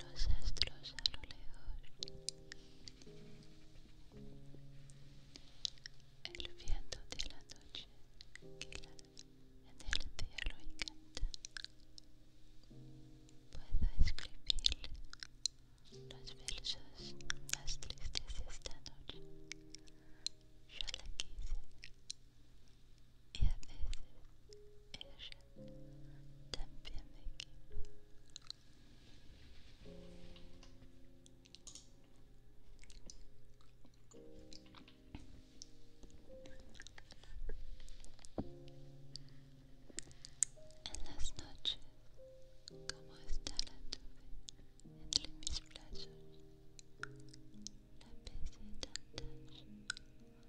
los astros a lo lejos, el viento de la noche que la, en el día lo encanta. Puedo escribir los versos más tristes esta noche. Yo la quise y a veces ella también me quiso. En las noches, como está la tuve entre mis brazos, la besé tantas veces bajo el cielo infinito.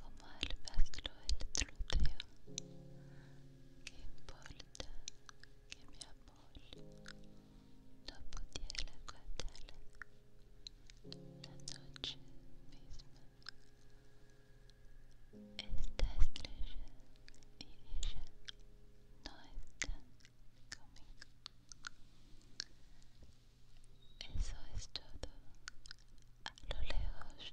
como al paslo el troteo. ¿Qué importa que mi amor no pudiera aguantarla la noche misma? Esta estrella y ella no están conmigo. Eso es todo. A lo lejos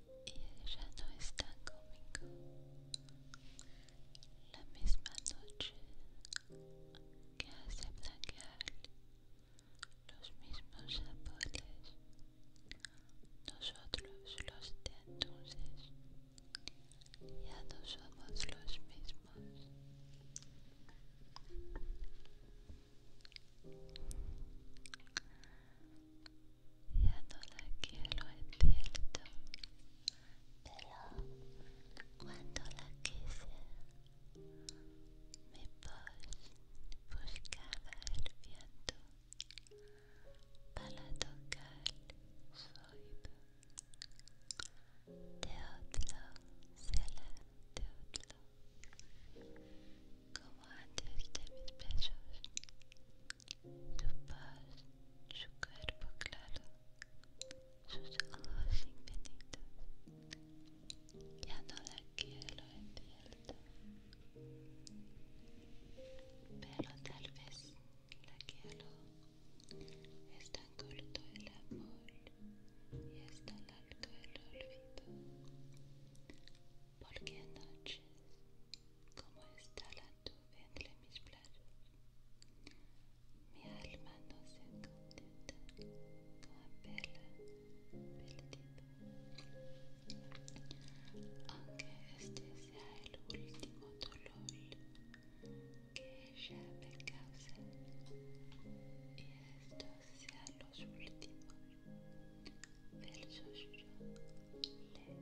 y ella no está conmigo. La misma noche que hace blanquear los mismos sabores, nosotros los de entonces ya no somos los mismos. Ya no la quiero, en cierto. Pero cuando la quise, mi voz buscaba el viento para tocar su oído. De otro será de como antes de mis besos. Su paz, su cuerpo claro, sus ojos infinitos. Ya no la quiero, entiendo. Pero tal vez la quiero. Es tan corto el amor y es tan largo el olvido. Porque noches como está la tuya obvändlig Mi alma no se contenta con verla perdida, aunque este sea el último dolor que ella me causa y estos sean los últimos. el susurro le Y no la que lo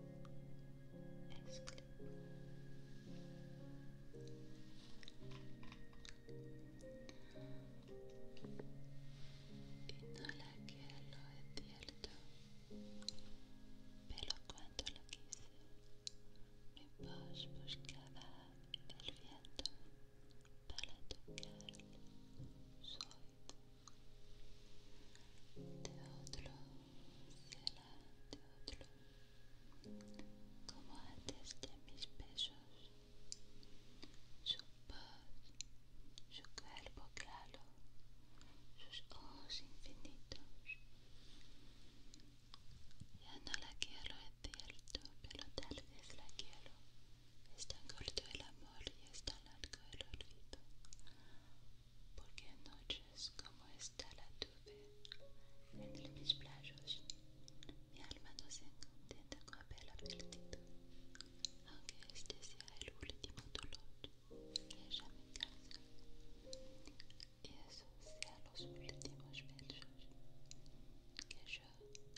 cierto pero cuando lo quise mi voz buscaba el viento para tocar su de otro como antes de mis besos su voz su cuerpo claro sus ojos infinitos ya no la quiero es cierto pero tal vez la quiero es tan corto el amor y es tan largo el olvido porque en noches como esta la tuve en mis playos, mi alma no se contenta con haberla perdido, aunque este sea el último dolor que ella me causa, y eso sea los últimos versos que yo le escribo.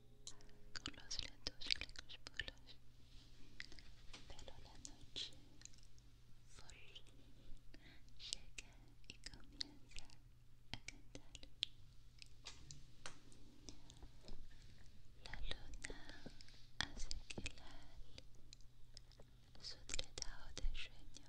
con los lentos crepúsculos pero la noche full llega y comienza a cantar la luna hace que la su tratado de sueño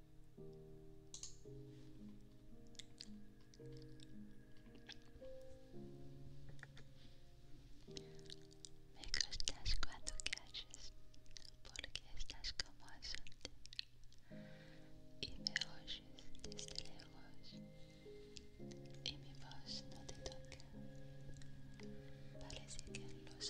Me gustas cuando calles porque estás como azul y me oyes desde lejos y mi voz no te toca. Parece que los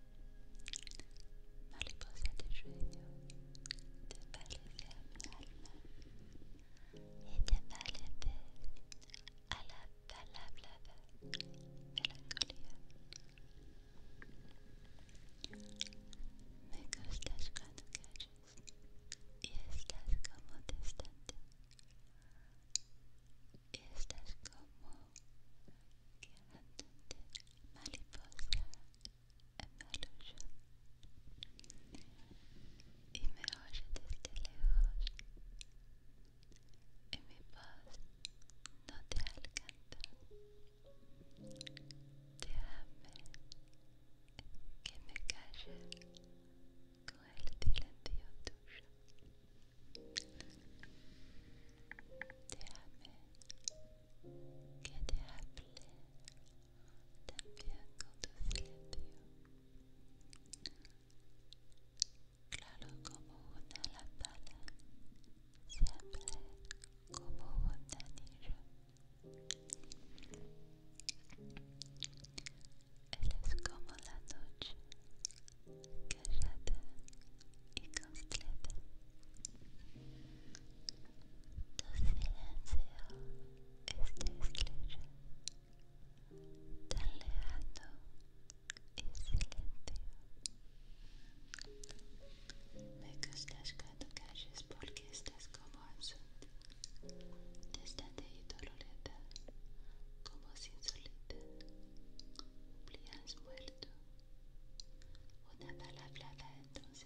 mariposa de sueño, te parece a mi y te parece a la palabra melancolía. Me gustas cuando callas y estás como distante estás como quedándote mariposa y me oye desde lejos y mi voz no te alcanza déjame que me calle con el dilatio tuyo Déjame que te hable también con tu silencio. Claro como una lámpara, siempre como un anillo. es como la noche, callada y completa. Tu silencio es estrella tan lejano y silencio. Me gustas cuando calles porque estás como ausente, distante y dolorida, como sin solita. has muerto. Una palabra entonces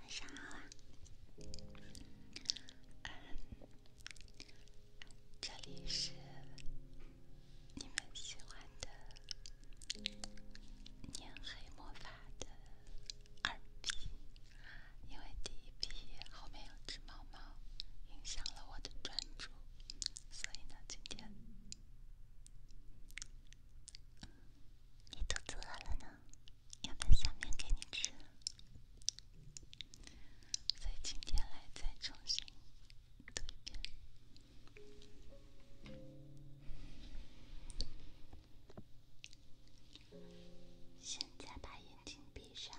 晚上好，嗯，这里是你们喜欢的念黑魔法的二 B，因为第一 B 后面有只猫。猫影响了我的专注，所以呢，今天你肚子了呢，要不要面给你吃？所以今天来再重新现在把眼睛闭。闭上，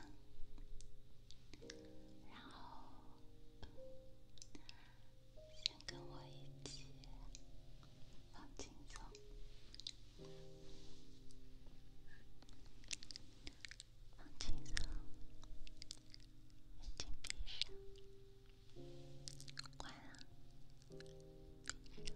然后先跟我一起放轻松，放轻松，眼睛闭上，关了，闭上。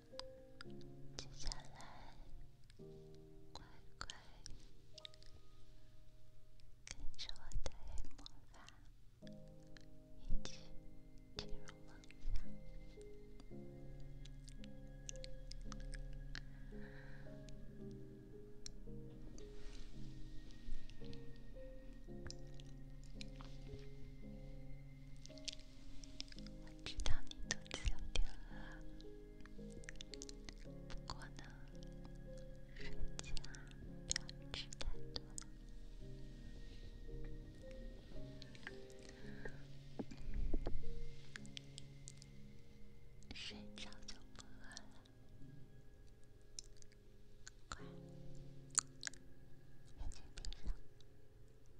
接下来，乖乖跟着我的魔法，一起进入梦乡。我知道你肚子有点饿，不过呢，睡觉不要吃太多，睡着就不饿了。快，眼睛闭上。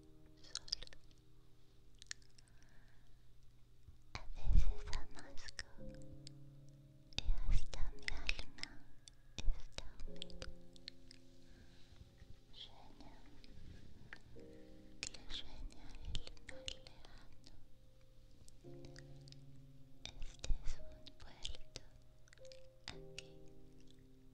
A veces amasco y hasta mi alma está humilde. Sueño que sueña el mar lejano. Este es un puerto aquí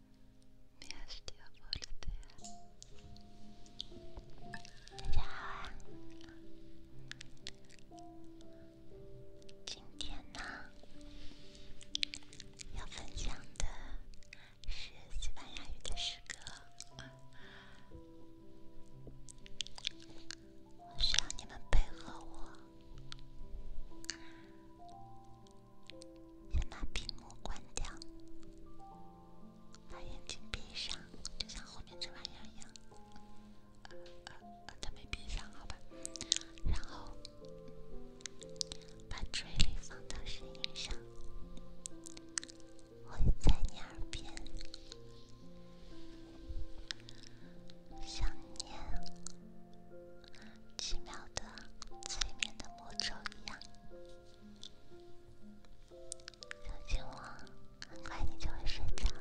大家好，今天呢，要分享的是西班牙语的诗歌，需要你们配合我。先把屏幕关掉，把眼睛闭上，就像后面这玩意儿一样。呃呃，他没闭上，好吧。然后把注意力放到声音上，我在你耳边，想念奇妙的催眠的魔咒一样。相信我，很快你就会睡着了。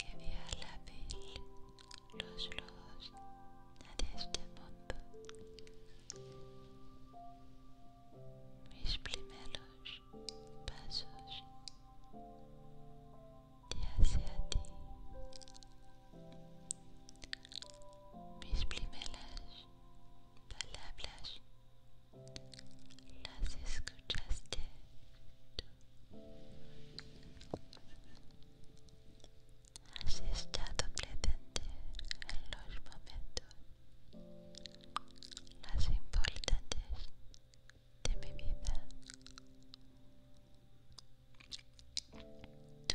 que vea la vil, los lobos de este mundo, mis primeros pasos de hacia ti, mis primeras palabras las escuchaste tú. Has estado presente en los momentos más importantes de mi vida.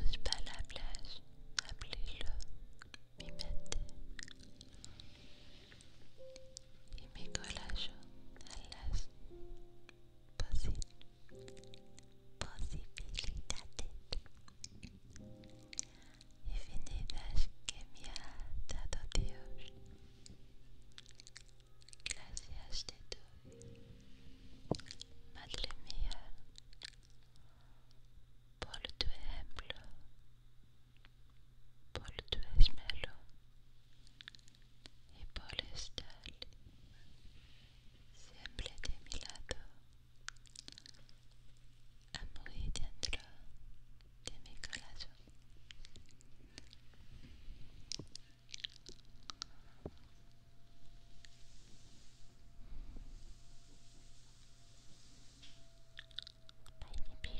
Tus palabras abrieron mi mente y me corazón a las posibilidades infinitas que me ha dado Dios. Gracias de doy, Madre mía, por tu ejemplo, por tu esmero y por estar siempre de mi lado, a muy dentro de mi corazón. Bye,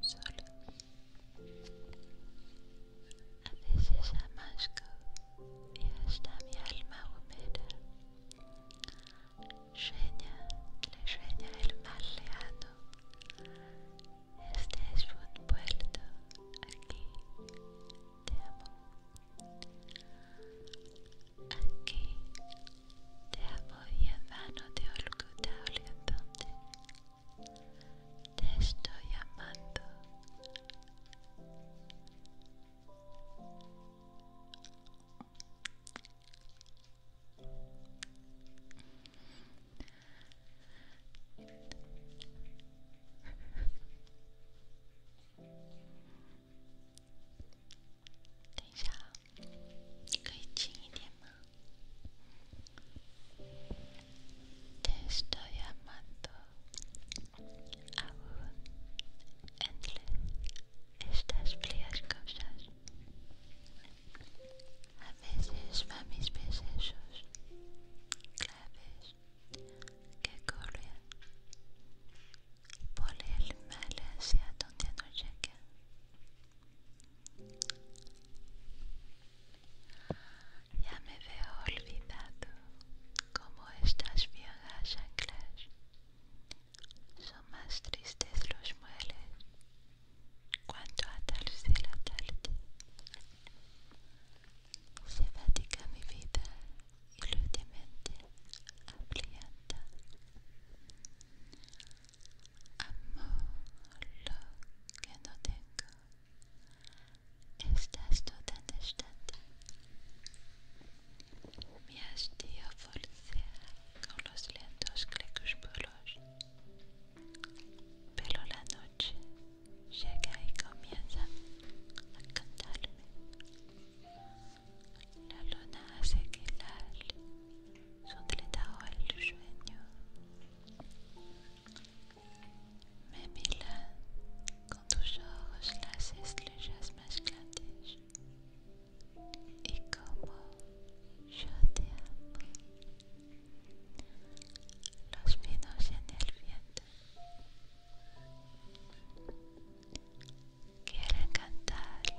solo. A veces amasco y hasta mi alma humera, Sueña, le sueña el mar lejano Este es un puerto aquí. Te amo. Aquí te amo y en vano te he ocultado Te estoy amando. Te te estoy amando aún entre estas frías cosas. A veces va mis besos claves que corren por el mal hacia donde no llega. Ya me veo olvidado como estas viejas anclas. Son más tristes los muebles cuanto de la tarde. Se fatiga mi vida y lo mente Amo lo que no tengo. Estás toda distante. Me has a forcear con los lentos crepúsculos. Pero la noche llega y comienza a cantarme. La luna hace que la. les le mais Mila, quand toujours les les les éclater et comme je los vinos en el viento quieren cantar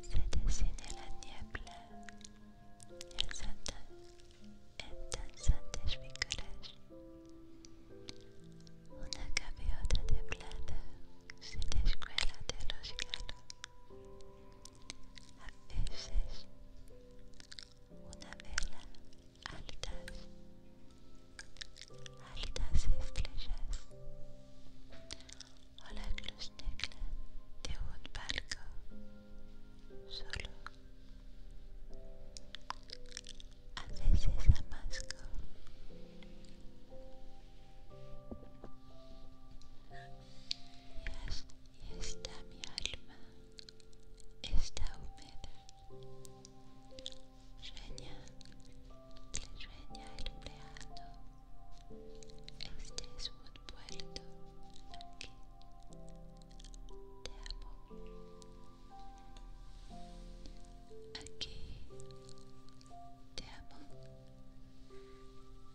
se desciende la niebla, el santo en danzantes figuras. Una gaviota de plata se descuela de los galos. A veces, una vela altas, altas estrellas. Hola Klusnekla, de un solo. A veces amasco. Y, está mi alma, está húmeda. Sueña le el empleado. Este es un puerto aquí. Te amo. Aquí. Te amo.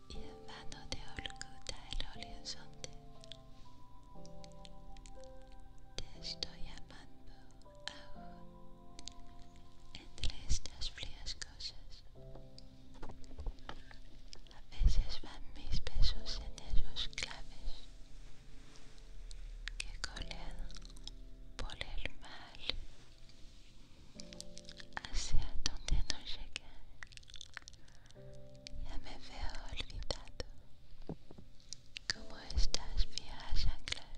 Y en mano de Olguta el horizonte. Te estoy amando ahora entre estas frías cosas. A veces van mis besos en esos claves que colean por el mal, hacia donde no llegué. Ya me veo olvidado como estas viejas anclas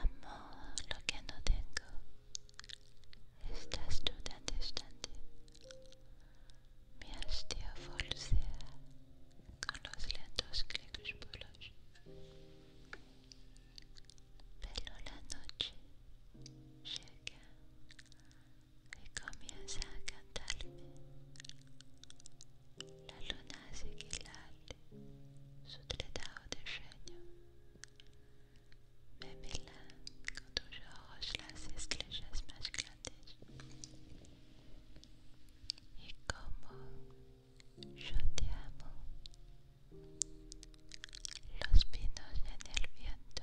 Amor, lo que no tengo, estás tú tan distante. Me has de con los lentos clics pulos. Pero la noche llega y comienza a cantarme. La luna seguir su tratado de sueño. Me con tus ojos las estrellas más grandes. Y como yo te amo, los pinos en el viento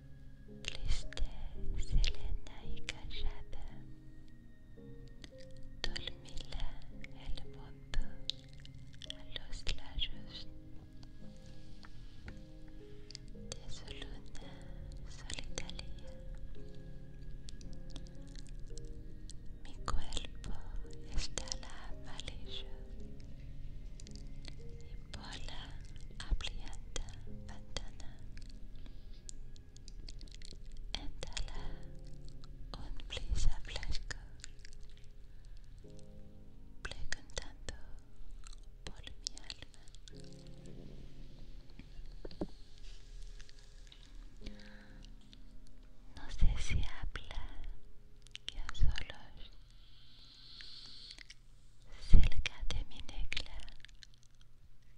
لشتاء سلانيك جبا Dormila el mundo a los lados de su luna solitaria. Mi cuerpo está la amarillo y por la abrienda ventana Entra un brisa fresca, preguntando por mi alma. No sé si habla que a solos cerca de mi negla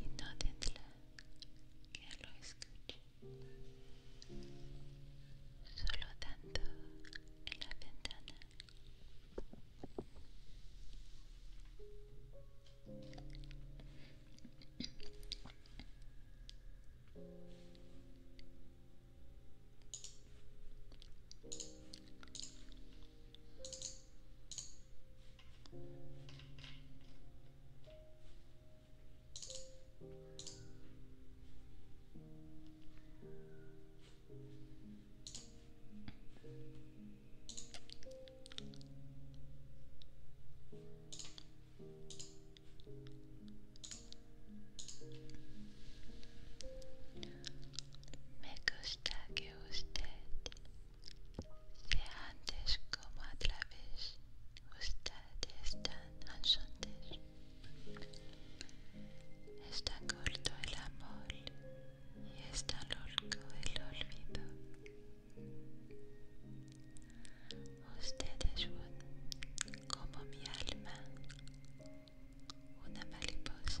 y no tendrá que lo escuche solo tanto en la ventana 目くしてあげる usted sea antes como a través ustedes tan es Está corto el amor y está loco el olvido. Usted es como mi alma, una mariposa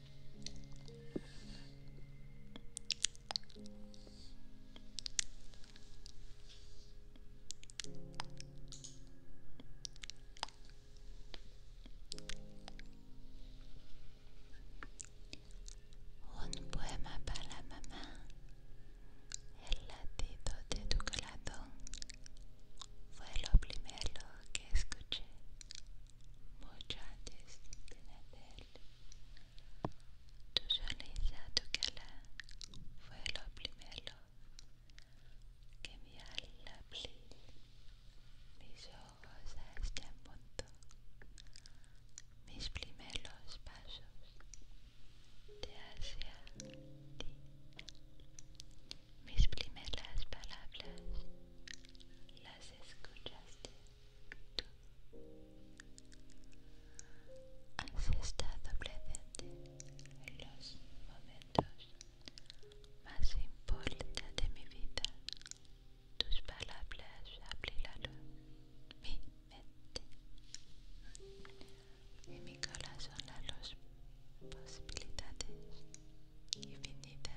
Un poema para mamá, el latido de tu corazón fue lo primero que escuché mucho antes de nacer. Tu sonido, tu cala fue lo primero que me al mis ojos a este punto, mis primeros pasos de hacia ti mis primeras palabras las escuchaste tú. Has estado presente en los momentos más importantes de mi vida. Tus palabras abrilaron mi mente y mi corazón las posibilidades infinitas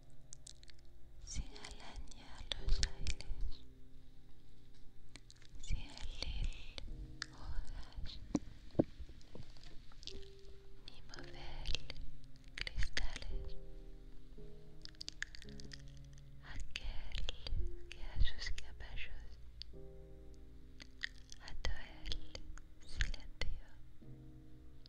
Sin jalan los aires, sin alen hojas, ni mover cristales. Aquel que a sus caballos a todo él silencio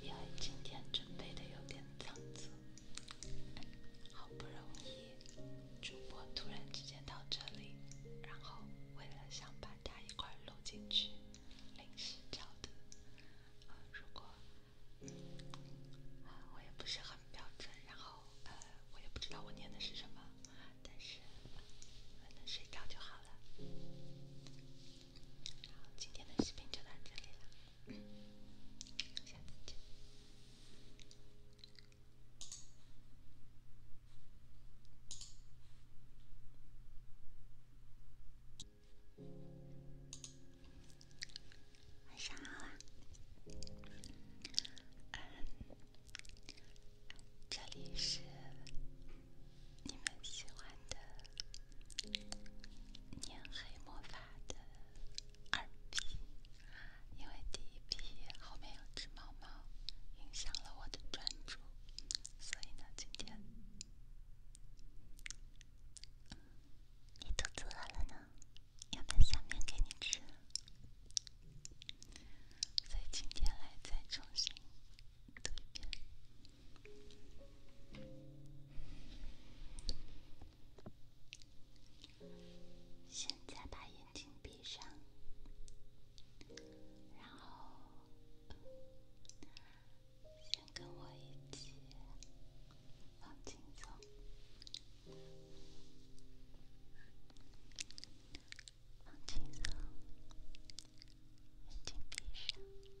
因为今天准备的有点仓促，好不容易主播突然之间到这里，然后为了想把它一块录进去，临时找的。呃，如果啊我也不是很标准，然后呃我也不知道我念的是什么，但是能睡着就好了。好，今天的视频就到这里了，下次见。晚上好啊，嗯，这里是。你们喜欢的念黑魔法的二逼，因为第一批后面有只猫猫，影响了我的专注，所以呢，今天你肚子饿了呢，要不要下面给你吃？所以今天来再重新读一遍。现在把眼睛闭上，然后先跟我一起放轻松，放轻松，眼睛闭上。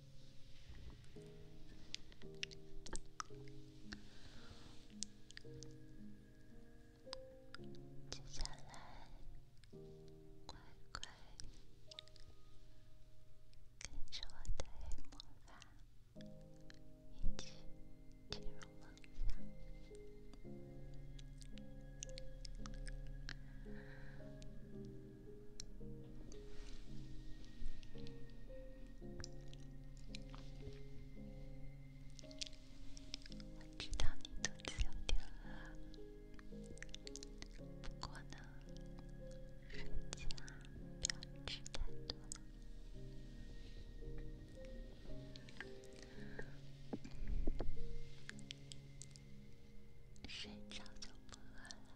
接下来，乖乖跟着我的魔法，一起进入梦乡。我知道你肚子有点饿，不过呢，睡觉不要吃太多，睡着就不饿了。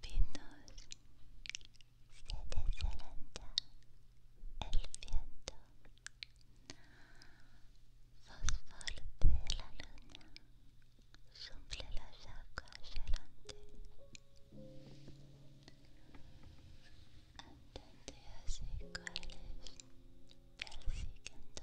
pinos se deslanta el viento, fosfor de la luna suple las aguas delante. Entendí así cuáles persiguen entonces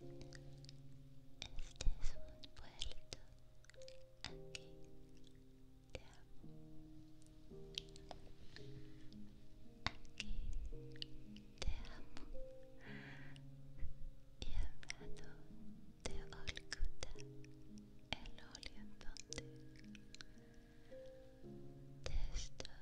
vuelto aquí. Te amo. Aquí te amo. Y hablando de Olcuta, el óleo en donde te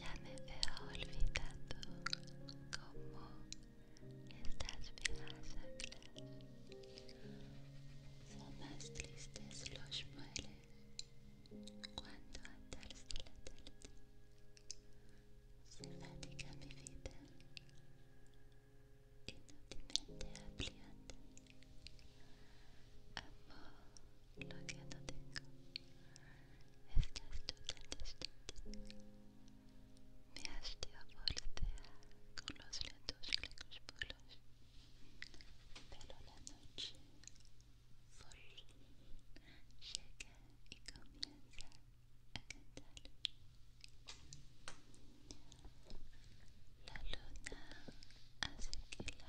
Ya me veo olvidando cómo estas viejas son más tristes los muebles cuando atarse la tarde se fatiga mi vida inútilmente Amor, lo que no tengo estás tú tan Me has de abordar con los lentos puros pero la noche por llega y comienza a cantar. La luna hace que la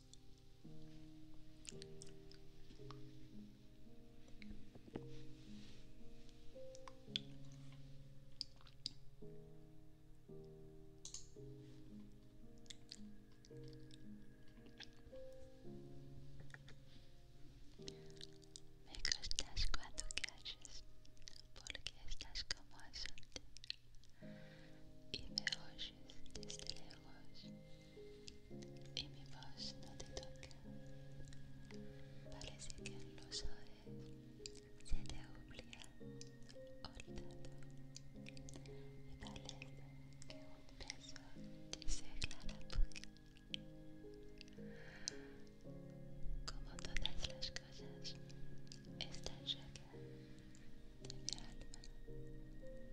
Me gustas cuando calles porque estás como azul y me oyes desde lejos. y mi voz no te toca. Parece que en los oídos se te obliga olvidado y parece que un peso que se aclara poco. Como todas las cosas, esta llaga de mi alma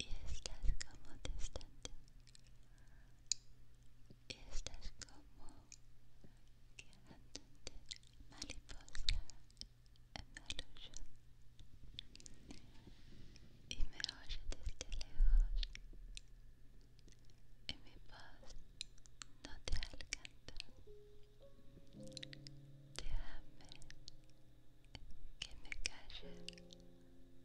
Estás como distante. Estás como cantante, mariposa amarillo. Y me oye desde lejos. Y mi voz no te alcanza. Déjame que me calle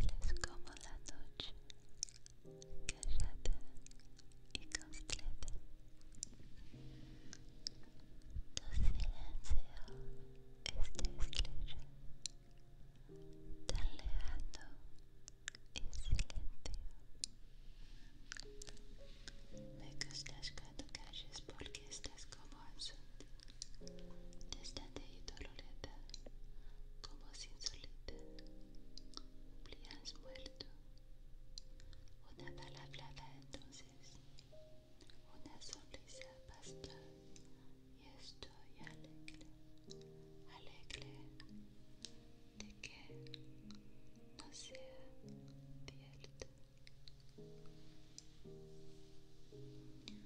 Él es como la noche, callada y completa. Tu silencio es de tan lejano Me gustas cuando calles porque estás como azul distante y dolorida, como solita, has muerto. Una palabra, entonces, una sonrisa pasta y estoy alegre, alegre de que no sea cierto.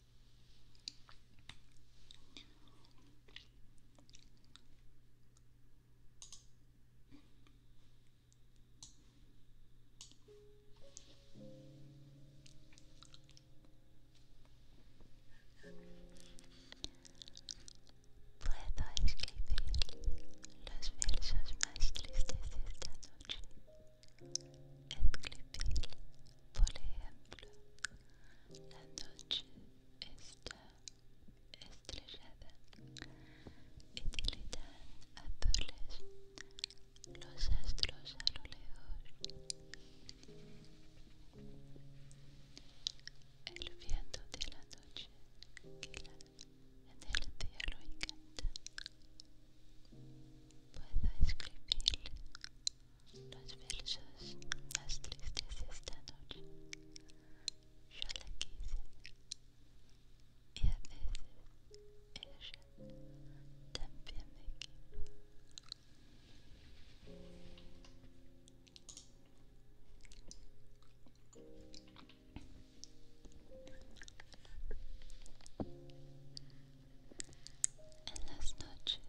Puedo escribir los versos más tristes de esta noche escribir por ejemplo, la noche está estrellada y tilitan azules los astros a lo lejos. El viento de la noche gila en el cielo lo encanta Puedo escribir Los versos, las tristes esta noche, yo la quise y a veces ella también me quiso. En las noches,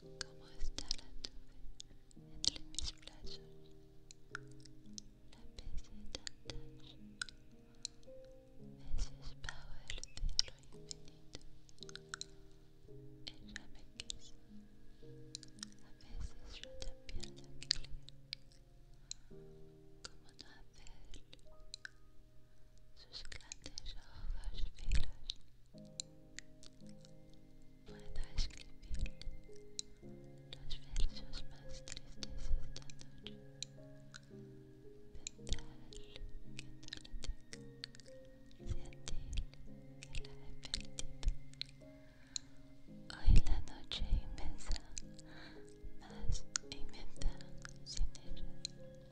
como está la tuve entre mis brazos, la besé tantas veces bajo el cielo infinito. Ella me quiso, a veces yo también la quería. Como no hacer sus grandes ojos filos puedo escribir los versos más tristes esta noche. Pensar que no sentir que la he perdido. Hoy la noche inmensa, más inmensa sin ella.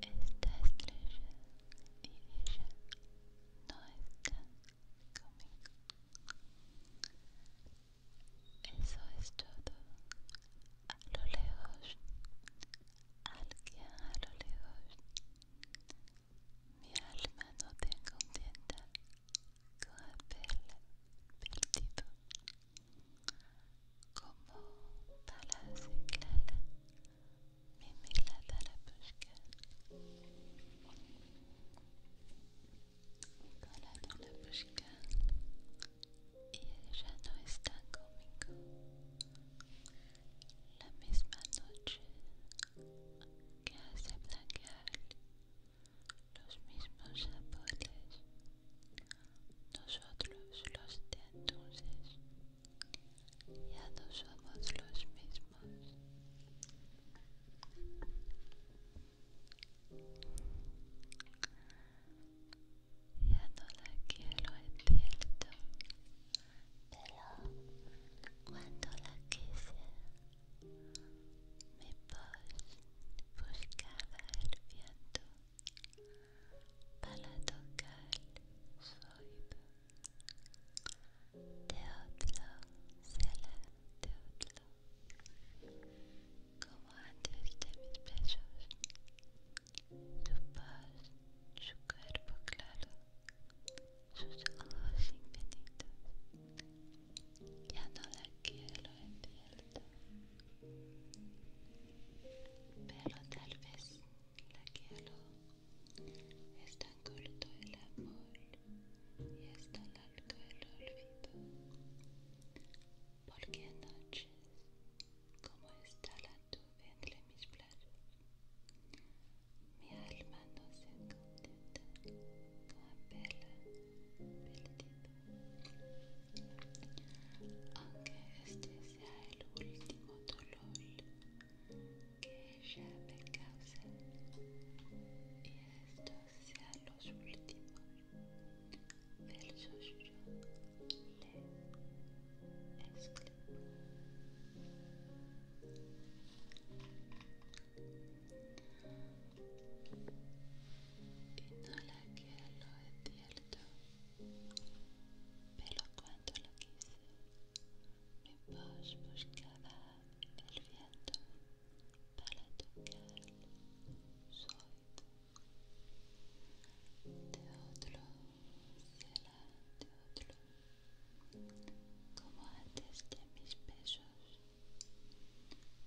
esta estrella y ella no están conmigo. Eso es todo. A lo lejos, alguien a lo lejos. Mi alma no te contenta con pelo perdido como tal clala que la busca calado la busca y ya no está conmigo la misma noche que hace blanquear los mismos sabores nosotros los de entonces ya no somos los mismos. Ya no la quiero viento pero cuando la quise, mi voz buscaba el viento para tocar el oído. De otro será otro, como antes de mis besos. Su paz, su cuerpo claro, sus ojos infinitos. Ya no la quiero en cierto, pero tal vez la Es tan corto el amor y es tan largo el olvido. Porque anoche, como está la nube entre mis brazos mi alma no se contenta con pelea perdido. Aunque estés sea el último dolor que ella me cause y estos sean los últimos versos yo le escribo y no la quiero de cierto pero cuando lo quise, mi voz buscaba el viento para tocar su oído. De otro de otro, como antes de mis besos.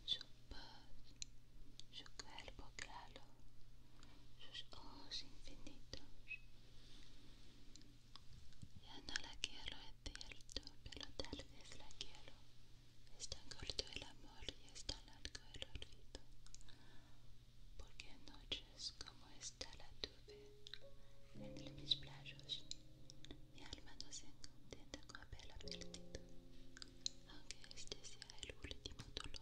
Su voz, su cuerpo claro sus ojos infinitos. Ya no la quiero, es cierto, pero tal vez la quiero. Es tan corto el amor y es tan largo el olvido. Porque en noches como esta la tuve, en mis playos, mi alma no se contenta con haberla perdido, aunque este sea el último dolor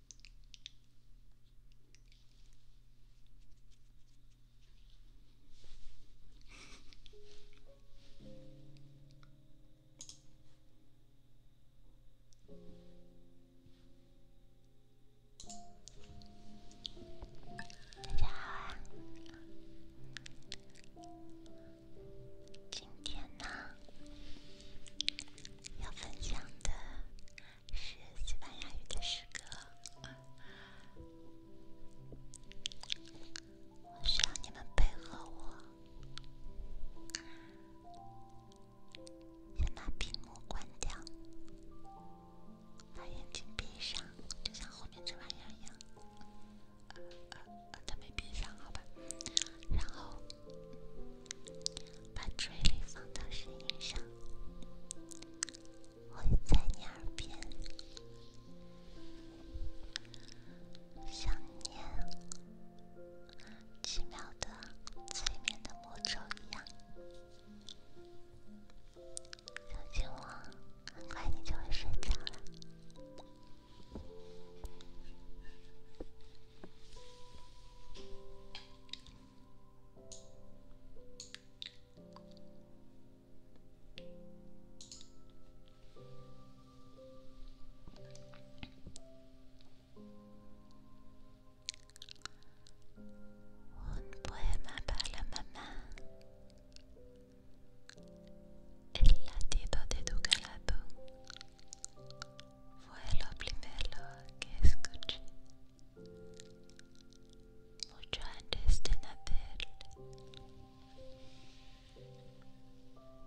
大家好啊！今天呢，要分享的。是西班牙语的诗歌，我需要你们配合我，先把屏幕关掉，把眼睛闭上，就像后面这玩意儿一样，呃呃，他没闭上，好吧，然后。把注意力放到声音上，我在你耳边，像念奇妙的催眠的魔咒一样，靠近我，很快你就会睡着了。Un poema la mamá. Le latido de la calado fue qu'est-ce que mucho antes de nacer,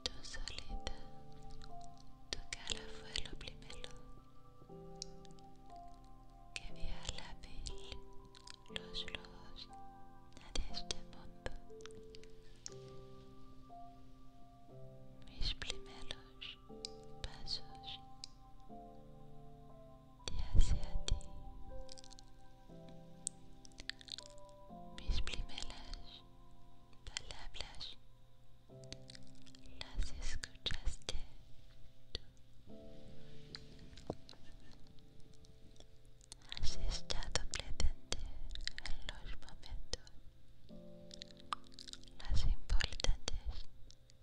tú solita, tu cara fue lo primero que vi a la piel, los rojos, De este mundo. Mis primeros pasos de hacia ti. Mis primeras palabras las escuchaste tú. Has estado presente en los momentos más importantes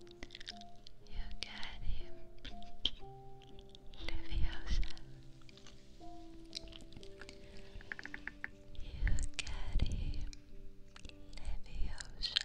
you got him, Leviosa. You got him, Leviosa. You got him, Leviosa.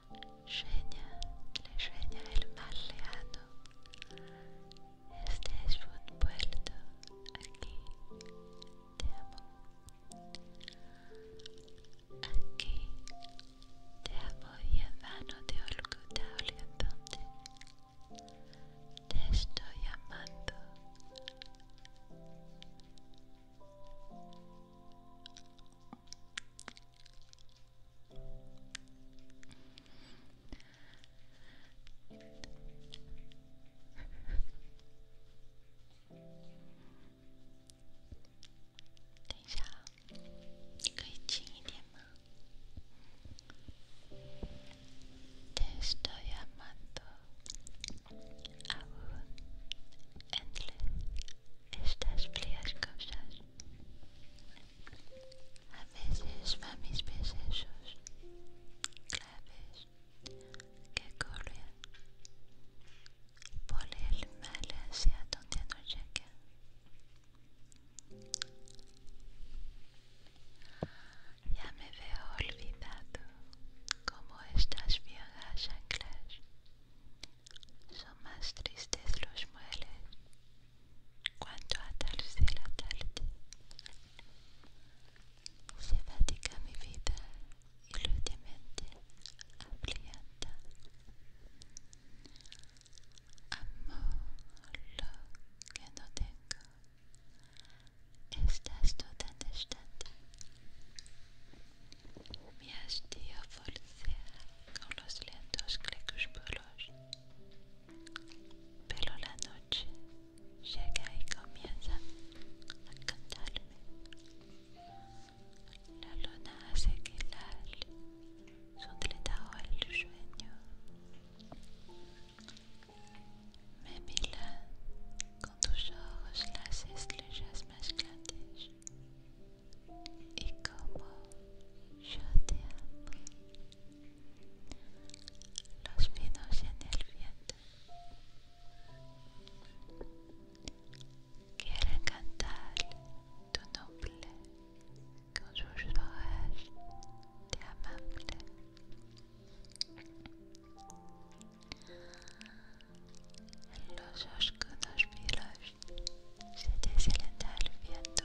Sueña, le sueña el mal leano. Este es un puerto, aquí te amo. Aquí te amo y vano de Olguta Orientante. Te estoy amando. Ten ya... Y que ching y tiempo. Te estoy amando. Amor. Entre estas cosas. A veces va mis besos claves que corren por el mal hacia donde no llegan. Ya me veo olvidado como estas viejas anclas. Son más tristes los muebles Cuanto atarse la tarde, se fatiga mi vida iludemente abrienta. amor lo que no tengo. Estás toda distante. Me has volcera con los lentos crepúsculos Mais la noche llega commence à a cantarme. La luna hace girar su sueño. Me là, con tus ojos las estrellas más et Et como yo te amo. los vinos en el viento quieren cantar tu nombre con sus hojas de amable en los oscuros vinos se deslenta el viento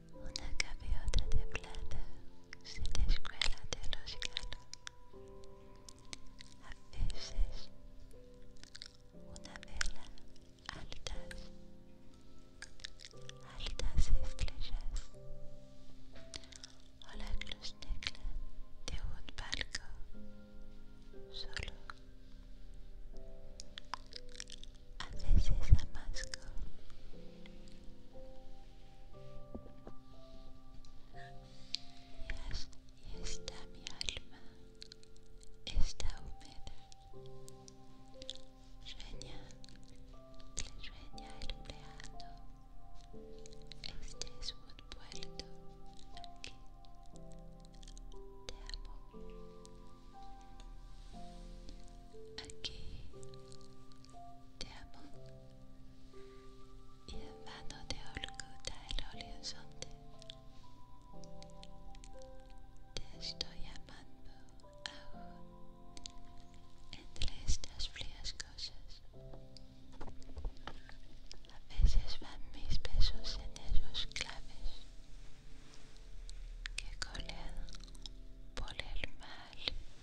Una gaviota de plata sin escuela de los galos. A veces, una vela altas, altas estrellas o la cruz negra de un barco solo. A veces amasco y está mi alma, está húmeda. Sueña, le sueña el peado Este es un puerto aquí. Te amo. Aquí te amo. Y en vano te oculta el horizonte. Te estoy amando aún entre estas frías cosas. A veces van mis besos en esos claves que colean por el mal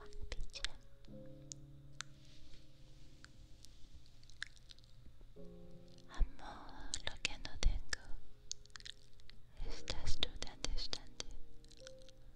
Amor, lo que no tengo. Estás tú tan distante.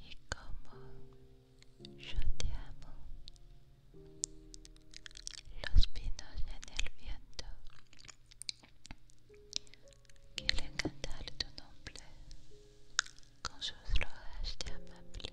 y como yo te amo los pinos en el viento quieren cantar tu nombre con sus rojas de amable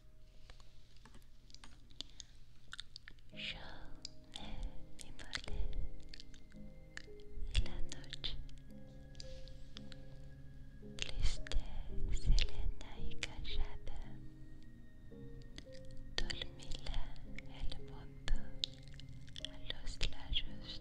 Yo me envolé en la noche. Triste, serena y callada. la el mundo a los lados.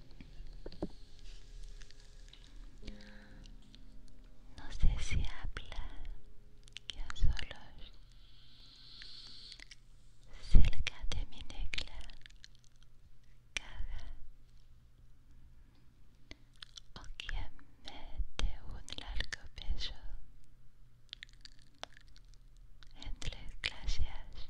No sé si habla que a solos cerca de mi negra caga o quien me un largo beso entre clases.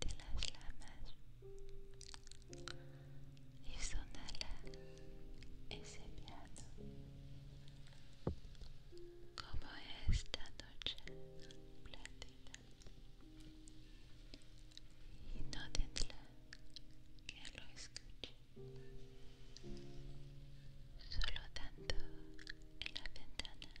de las lamas y sonala ese piano como esta noche plácida y no tendrá que lo escuche solo tanto en la ventana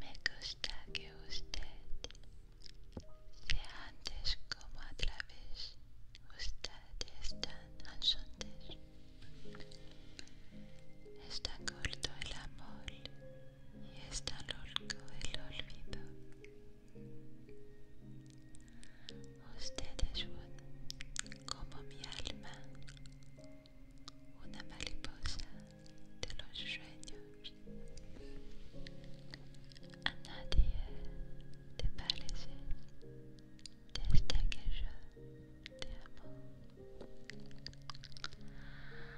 Me gusta que usted sea antes como a través ustedes tan Es Está corto el amor y está loco el olvido. ustedes son como mi alma, una mariposa de los sueños. A nadie te parece desde que yo te amo.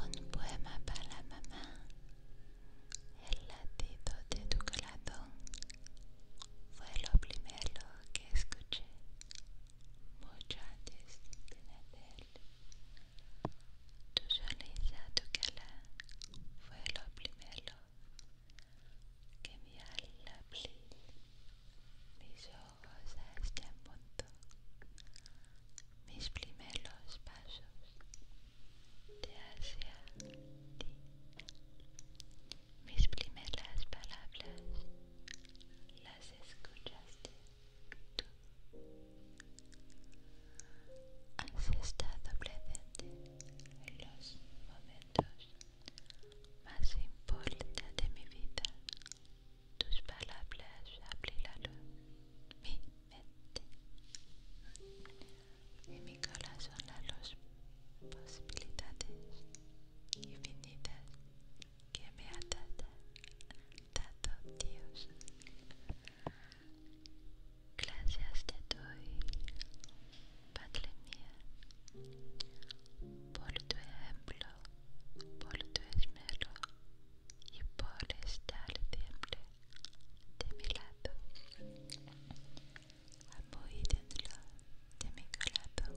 Un poema para mamá, el latido de tu corazón fue lo primero que escuché mucho antes de nacer. Tu sonrisa, tu cara fue lo primero que mi alma mis ojos a este punto, mis primeros pasos de hacia ti, mis primeras palabras las escuchaste tú. Has estado presente en los momentos más importa de mi vida tus palabras la abrirán mi mente y mi corazón a las posibilidades infinitas que me ha dado, dado Dios. Gracias te doy, Padre mío, por tu ejemplo voltuesmero y por estar siempre de mi lado, muy dentro de mi corazón.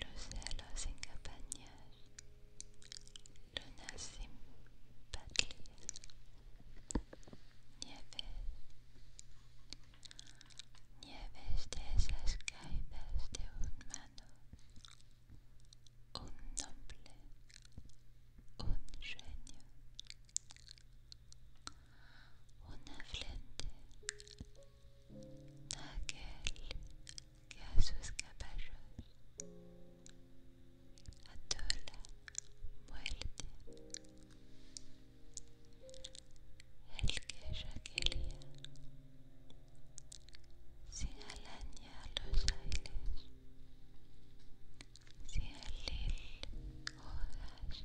los celos sin campañas, lunas sin patillas, nieves, nieves de esas caídas de un mano, un noble un sueño, una frente, aquel que a sus caballos atola muerte, el que ya quería sin alañar los aires, sin alir hojas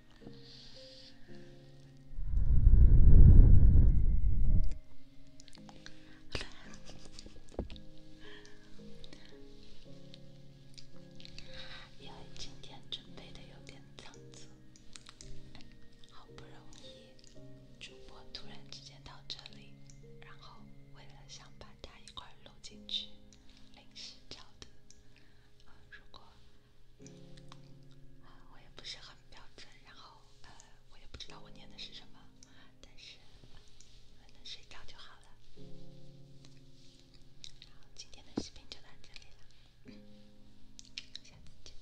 因为今天准备的有点仓促，好不容易主播突然之间到这里，然后为了想把他一块搂进去。临时教的，呃，如果，呃，我也不是很标准，然后，呃，我也不知道我念的是什么，但是能睡着就好了。好，今天的视频就到这里了，下次见。